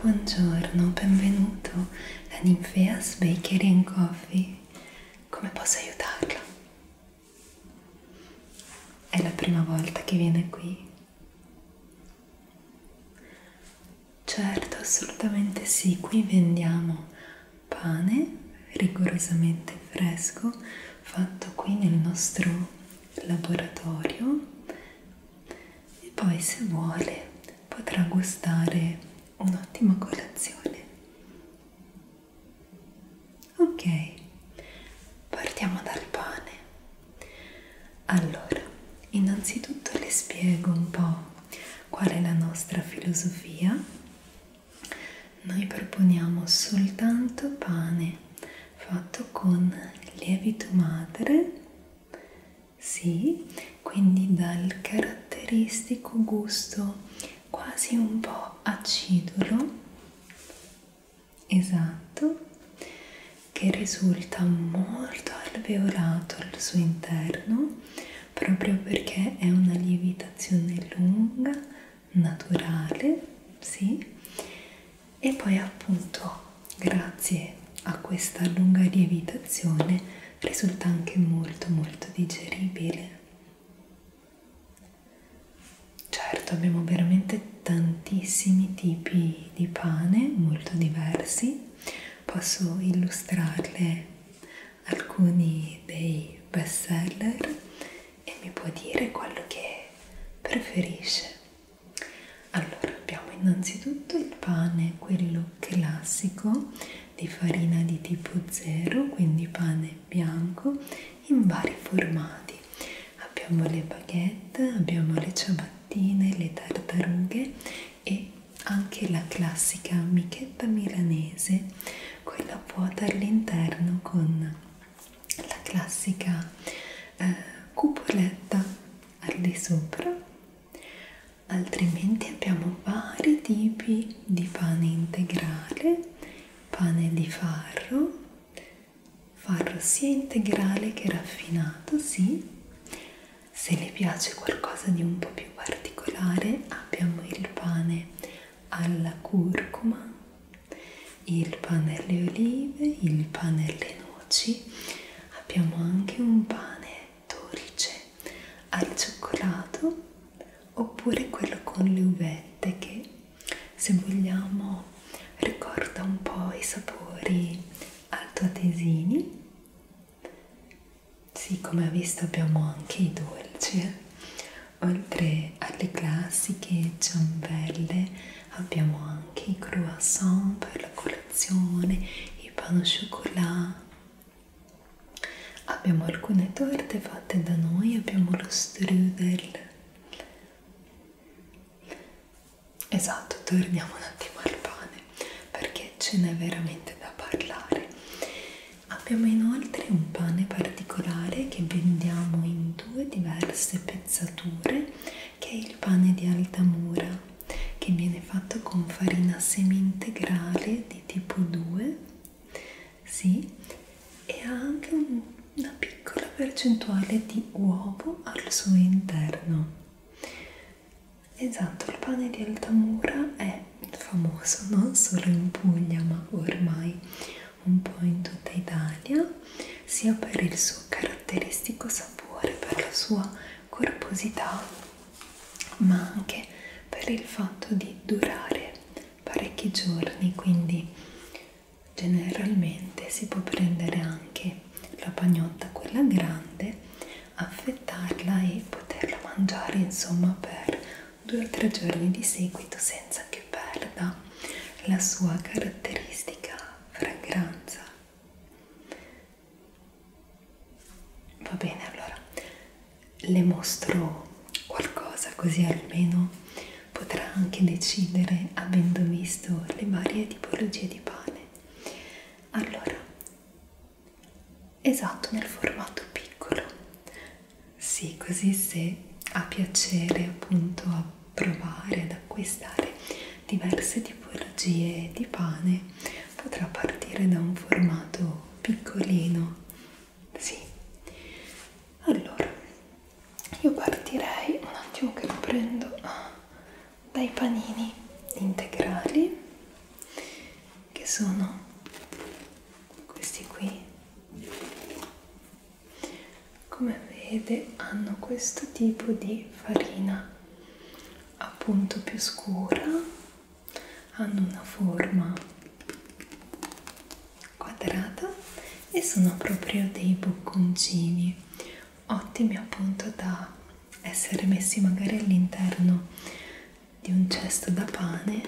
Buongiorno, benvenuto da Ninfeas Bakery and Coffee. Come posso aiutarla? È la prima volta che viene qui? Certo, assolutamente sì, qui vendiamo pane rigorosamente fresco fatto qui nel nostro laboratorio e poi se vuole potrà gustare un'ottima colazione. Ok, partiamo dal pane. Allora, innanzitutto le spiego un po' Qual è la nostra filosofia? Noi proponiamo soltanto pane fatto con lievito madre, sì, quindi dal caratteristico gusto quasi un po' acidulo, esatto, che risulta molto alveolato al suo interno proprio perché è una lievitazione lunga, naturale, sì, e poi appunto grazie a questa lunga lievitazione risulta anche molto molto digeribile. Certo, abbiamo veramente tantissimi tipi di pane molto diversi posso illustrarle alcuni dei best seller e mi può dire quello che preferisce. Allora abbiamo innanzitutto il pane, quello classico di farina di tipo 0, quindi pane bianco in vari formati. Abbiamo le baguette, abbiamo le ciabattine, le tartarughe e anche la classica amichetta milanese, quella vuota all'interno con la classica eh, cupoletta al di sopra. Altrimenti abbiamo vari tipi di pane integrale, pane di farro, farro sia integrale che raffinato, sì, se le piace qualcosa di un po' più particolare abbiamo il pane alla curcuma, il pane alle olive, il pane alle noci, abbiamo anche un pane dolce al cioccolato oppure quello con le uvette che se vogliamo ricorda un po' i sapori altoatesini sì, come ha visto abbiamo anche i dolci, eh? oltre alle classiche ciambelle abbiamo anche i croissant per la colazione, i pan au chocolat. Abbiamo alcune torte fatte da noi, abbiamo lo strudel Esatto, torniamo un attimo al pane perché ce n'è veramente da parlare. Abbiamo inoltre un pane particolare che vendiamo in due diverse pezzature, che è il pane di Altamura, che viene fatto con farina semi-integrale di tipo 2, sì, e ha anche un, una piccola percentuale di uovo al suo interno. Esatto, il pane di Altamura è famoso non solo in Puglia ma ormai un po' in tutta Italia, sia per il suo caratteristico sapore, per la sua corposità, ma anche per il fatto di durare parecchi giorni, quindi generalmente si può prendere anche la pagnotta quella grande affettarla e poterla mangiare insomma per due o tre giorni di seguito senza che perda la sua caratteristica fragranza va bene allora le mostro qualcosa così almeno potrà anche decidere avendo visto le varie tipologie di pane allora esatto nel formato piccolo sì così se ha piacere appunto a provare ad acquistare diverse tipologie di pane potrà partire da un formato piccolino sì allora io partirei un attimo che lo prendo dai panini integrali che sono questi qui come vede hanno questo tipo di farina appunto più scura hanno una forma quadrata e sono proprio dei bocconcini ottimi appunto da essere messi magari all'interno di un cesto da pane,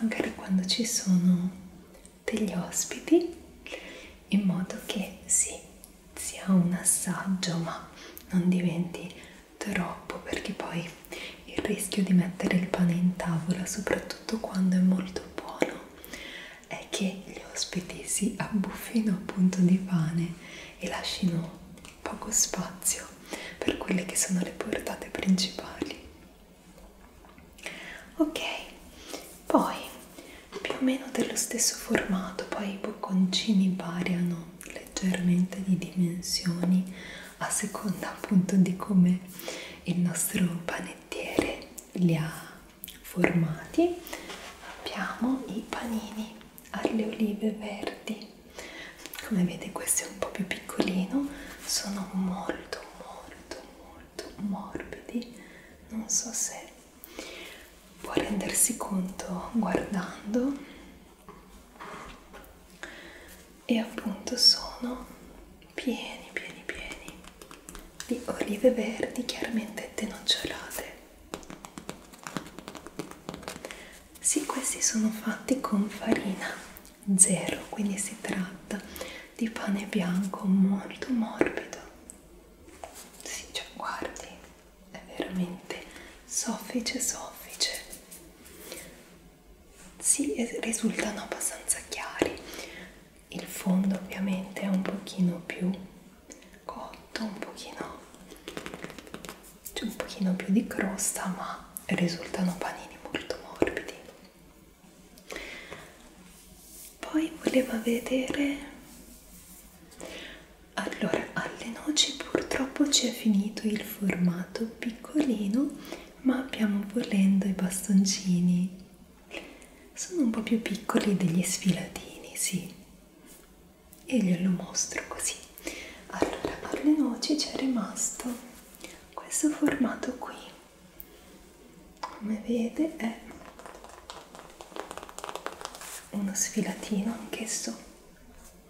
magari quando ci sono degli ospiti, in modo che sì, sia un assaggio, ma non diventi troppo perché poi il rischio di mettere il pane in tavola, soprattutto quando è molto buono, è che gli ospiti si abbuffino appunto di pane e lasciano poco spazio per quelle che sono le portate principali. Ok, poi più o meno dello stesso formato, poi i bocconcini variano leggermente di dimensioni a seconda appunto di come il nostro panettiere li ha formati abbiamo i panini alle olive verdi come vedete questo è un po' più piccolino sono molto molto molto morbidi non so se può rendersi conto guardando e appunto sono pieni pieni pieni di olive verdi chiaramente denocciolate sì, questi sono fatti con farina zero, quindi si tratta di pane bianco molto morbido. Sì, cioè, guardi, è veramente soffice, soffice. Sì, risultano abbastanza chiari il fondo ovviamente è un pochino più cotto, un pochino c'è un pochino più di crosta ma risultano panini molto morbidi poi voleva vedere allora alle noci purtroppo ci è finito il formato piccolino ma abbiamo volendo i bastoncini sono un po' più piccoli degli sfilatini, sì, e glielo mostro così. Allora, per le noci c'è rimasto questo formato qui, come vede è uno sfilatino anch'esso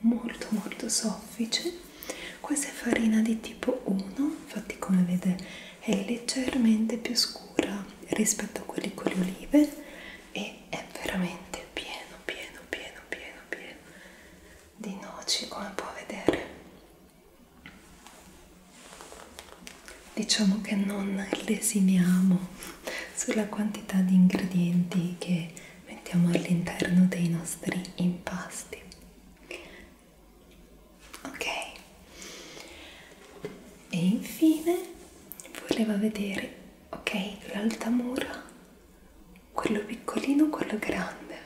molto molto soffice, questa è farina di tipo 1, infatti come vede è leggermente più scura misura rispetto a quelli con le olive e è veramente pieno pieno pieno pieno pieno di noci come può vedere diciamo che non lesiniamo sulla quantità di ingredienti che mettiamo all'interno dei nostri impasti ok e infine voleva vedere ok l'alta mura quello piccolino quello grande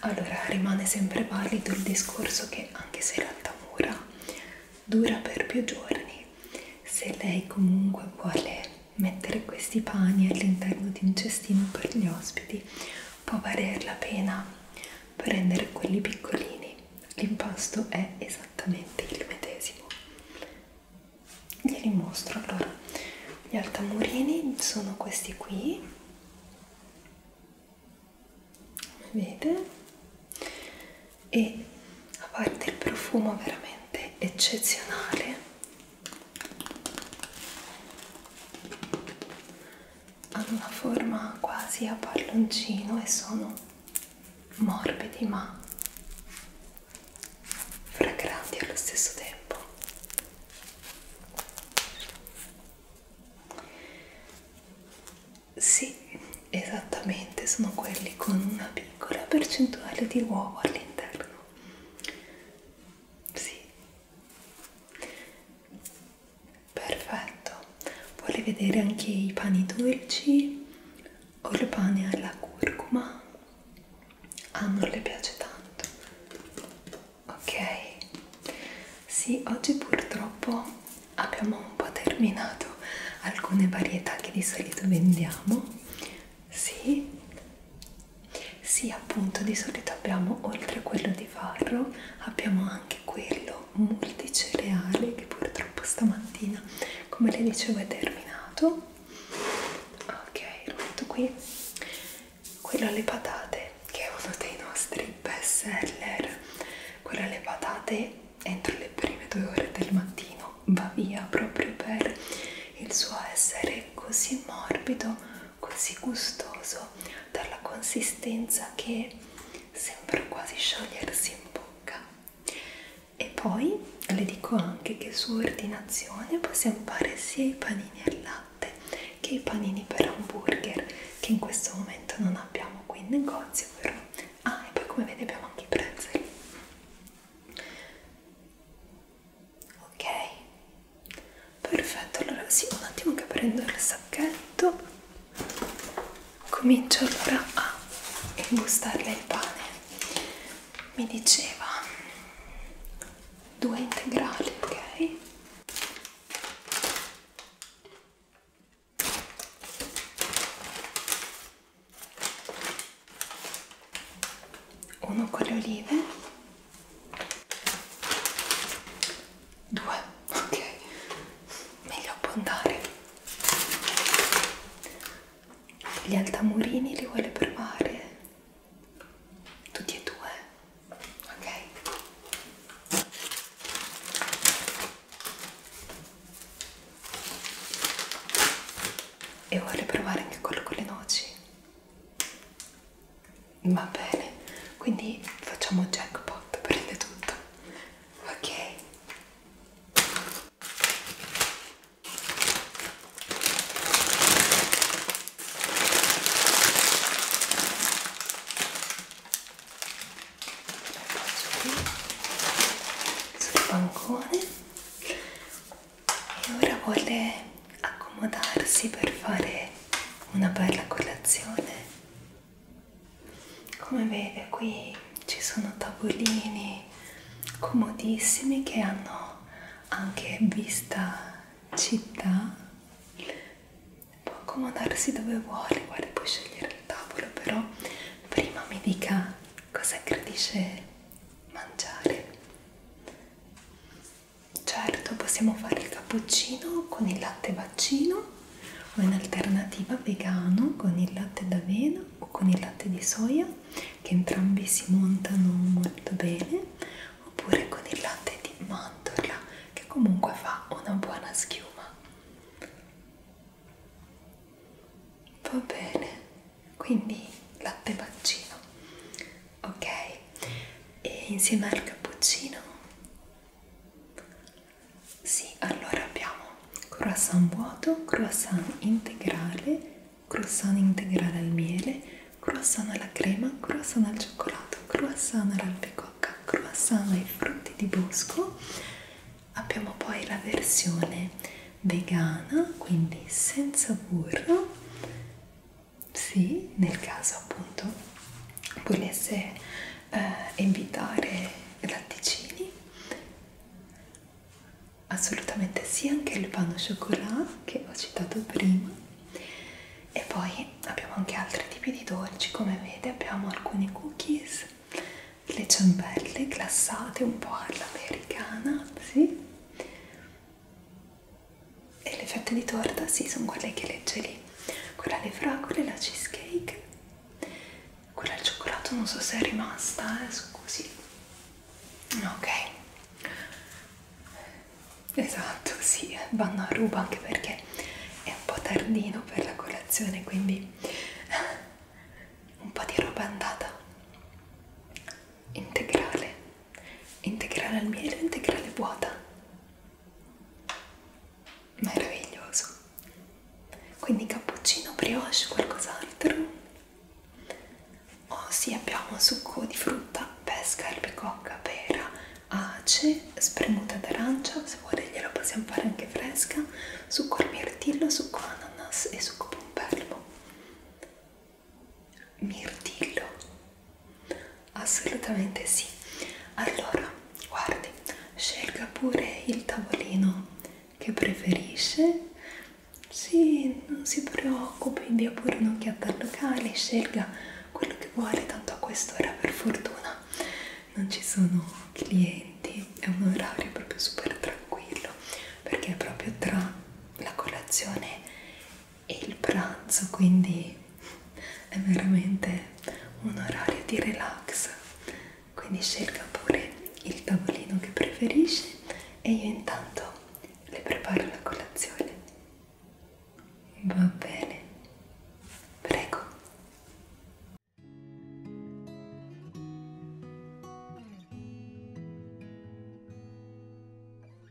allora rimane sempre valido il discorso che anche se l'alta mura dura per più giorni se lei comunque vuole mettere questi pani all'interno di un cestino per gli ospiti può valer la pena prendere quelli piccolini l'impasto è esattamente il medesimo glieli mostro allora gli altamurini sono questi qui come vedete e a parte il profumo veramente eccezionale hanno una forma quasi a palloncino e sono morbidi ma fragranti allo stesso tempo sì esattamente sono quelli con una piccola percentuale di uovo all'interno sì Perfetto, vuole vedere anche i pani dolci o il pane alla curcuma? Ah, non le piace tanto. Ok, sì, oggi purtroppo abbiamo un po' terminato alcune varietà che di solito vendiamo. Sì, sì, appunto, di solito abbiamo oltre a quello di farro, abbiamo anche anche quello multicereale che purtroppo stamattina come le dicevo è terminato ok lo metto qui quello alle patate che è uno dei nostri best seller quello alle patate entro le prime due ore del mattino va via proprio per il suo essere così morbido così gustoso dalla consistenza che sembra quasi sciogliersi in bocca e poi le dico anche che su ordinazione possiamo fare sia i panini al latte che i panini per hamburger che in questo momento non abbiamo qui in negozio però ah e poi come vedi abbiamo anche i prezzi ok perfetto allora sì un attimo che prendo il sacchetto comincio allora a imbustarle il pane mi diceva due integrali ok uno con le olive Due, ok, meglio abbondare. Gli altamurini li vuole provare? Tutti e due, ok. E vuole provare anche quello con le noci? va bene quindi facciamo jackpot prende tutto ok qui sul bancone e ora vuole accomodarsi per fare una bella colazione. Come vede qui ci sono tavolini comodissimi che hanno anche vista città. Può accomodarsi dove vuole, guarda puoi scegliere il tavolo, però prima mi dica cosa gradisce mangiare. Certo, possiamo fare il cappuccino con il latte vaccino o in alternativa vegano con il latte d'avena o con il latte di soia che entrambi si montano molto bene oppure con il latte di mandorla che comunque fa una buona schiuma. Va bene, quindi latte vaccino ok e insieme al cappuccino sì allora abbiamo croissant vuoto croissant integrale croissant integrale al miele croissant alla crema croissant al cioccolato croissant all'albicocca croissant ai frutti di bosco abbiamo poi la versione vegana quindi senza burro sì, nel caso appunto volesse eh, invitare latticini assolutamente sì, anche il pan au chocolat che ho citato prima e poi abbiamo anche altri tipi di dolci come vede abbiamo alcuni cookies le ciambelle glassate un po' all'americana sì e le fette di torta sì sono quelle che legge lì quella alle fragole, la cheesecake quella al cioccolato non so se è rimasta eh, scusi ok esatto sì vanno a ruba anche perché è un po' tardino per la colazione quindi un po' di roba andata integrale integrale al miele o integrale vuota meraviglioso quindi cappuccino brioche qualcos'altro oh sì abbiamo succo di frutta pesca albicocca pera ace spremuta d'arancia se vuole gliela possiamo fare anche fresca succo al mirtillo succo ananas e succo pompelmo mirtillo assolutamente sì allora guardi scelga pure il tavolino che preferisce sì non si preoccupi dia pure un'occhiata al locale scelga quello che vuole tanto a quest'ora per fortuna non ci sono clienti è un orario proprio super tranquillo perché è proprio tra la colazione e il pranzo, quindi è veramente un orario di relax. Quindi scelga pure il tavolino che preferisce e io intanto le preparo la colazione. Va bene, prego.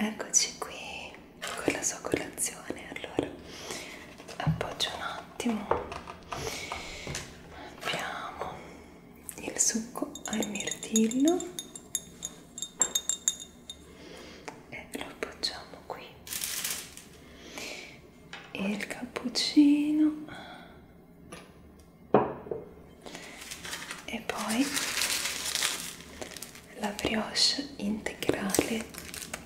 Eccoci qui con la sua colazione, allora appoggio un attimo, abbiamo il succo al mirtillo e lo appoggiamo qui e il cappuccino e poi la brioche integrale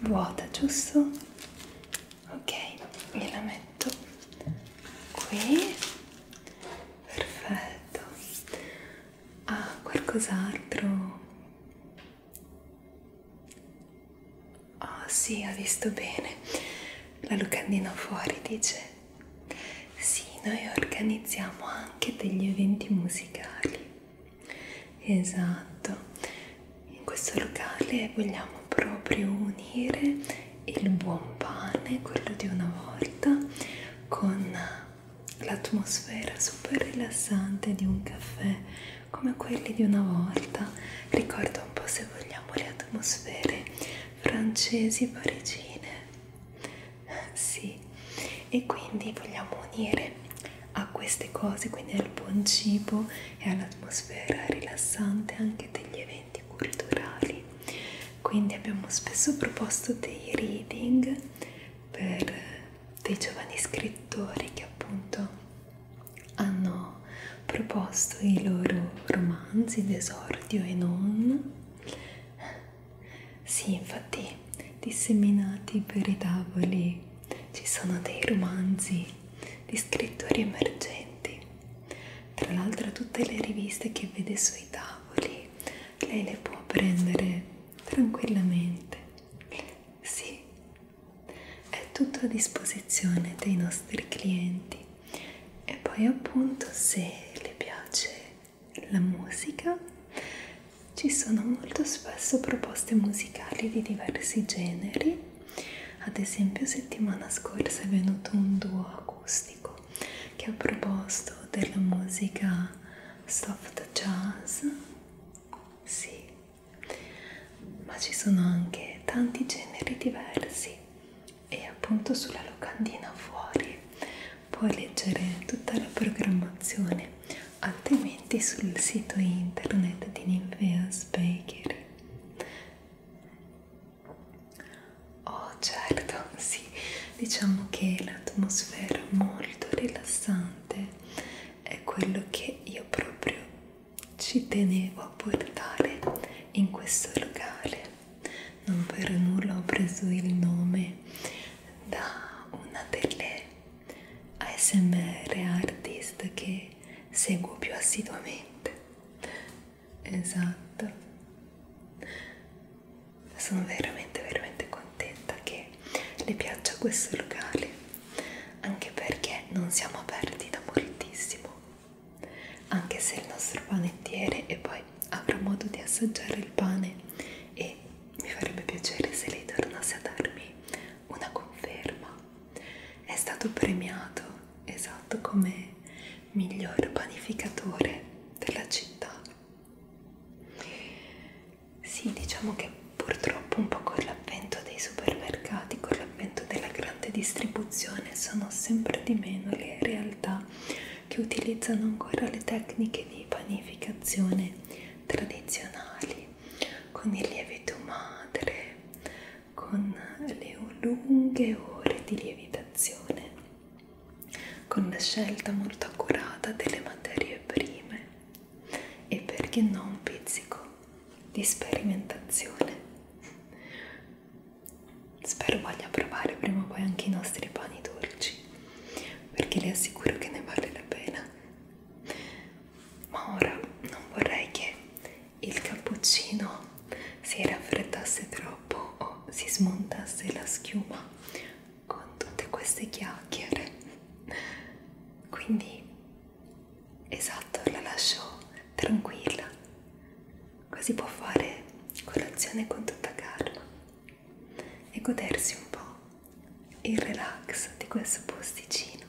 vuota giusto ok gliela metto qui perfetto ah qualcos'altro Oh sì, ho visto bene. La locandina fuori dice. Sì, noi organizziamo anche degli eventi musicali. Esatto. In questo locale vogliamo proprio unire il buon pane, quello di una volta, con l'atmosfera super rilassante di un caffè come quelli di una volta, ricorda un po' se vogliamo le atmosfere francesi parigine. Sì, e quindi vogliamo unire a queste cose, quindi al buon cibo e all'atmosfera rilassante anche degli eventi culturali. Quindi abbiamo spesso proposto dei reading per dei giovani scrittori che appunto hanno proposto i loro romanzi d'esordio e non sì infatti disseminati per i tavoli ci sono dei romanzi di scrittori emergenti tra l'altro tutte le riviste che vede sui tavoli lei le può prendere tranquillamente sì è tutto a disposizione dei nostri clienti e poi appunto se le piace la musica ci sono molto spesso proposte musicali di diversi generi ad esempio settimana scorsa è venuto un duo acustico che ha proposto della musica soft jazz sì ma ci sono anche tanti generi diversi e appunto sulla locandina fuori puoi leggere tutta la programmazione altrimenti sul sito internet di Ninveas Bakery oh certo sì diciamo che l'atmosfera molto rilassante è quello che io proprio ci tenevo a portare in questo locale. Non per nulla ho preso il nome da una delle ASMR artist che seguo più assiduamente. Esatto, sono veramente, veramente contenta che le piaccia questo locale anche perché non siamo aperti da moltissimo, anche se il nostro panettiere e poi avrà modo di assaggiare il pane e mi farebbe piacere se lei tornasse a darmi una conferma. È stato premiato, esatto, come miglior panificatore della città. Sì, diciamo che purtroppo un po' con l'avvento dei supermercati, con l'avvento della grande distribuzione, sono sempre di meno le realtà che utilizzano ancora le tecniche di panificazione tradizionali, con il lievito madre, con le lunghe ore di lievitazione, con la scelta molto accurata delle materie prime e perché no un pizzico di sperimentazione. Spero voglia provare prima o poi anche i nostri pani dolci, perché le assicuro che ne vale la pena. Ma ora non vorrei che il cappuccino si raffreddasse troppo o si smontasse la schiuma con tutte queste chiacchiere. Quindi Esatto, la lascio tranquilla, così può fare colazione con tutta calma e godersi un po' il relax di questo posticino.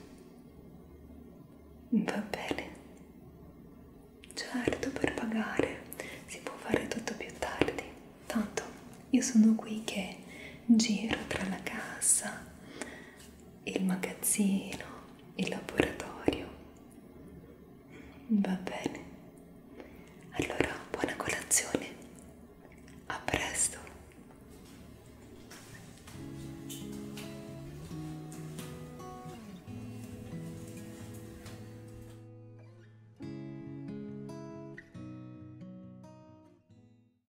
Va bene, certo per pagare si può fare tutto più tardi, tanto io sono qui che giro tra la cassa il magazzino, il laboratorio. Va bene. Allora, buona colazione. A presto.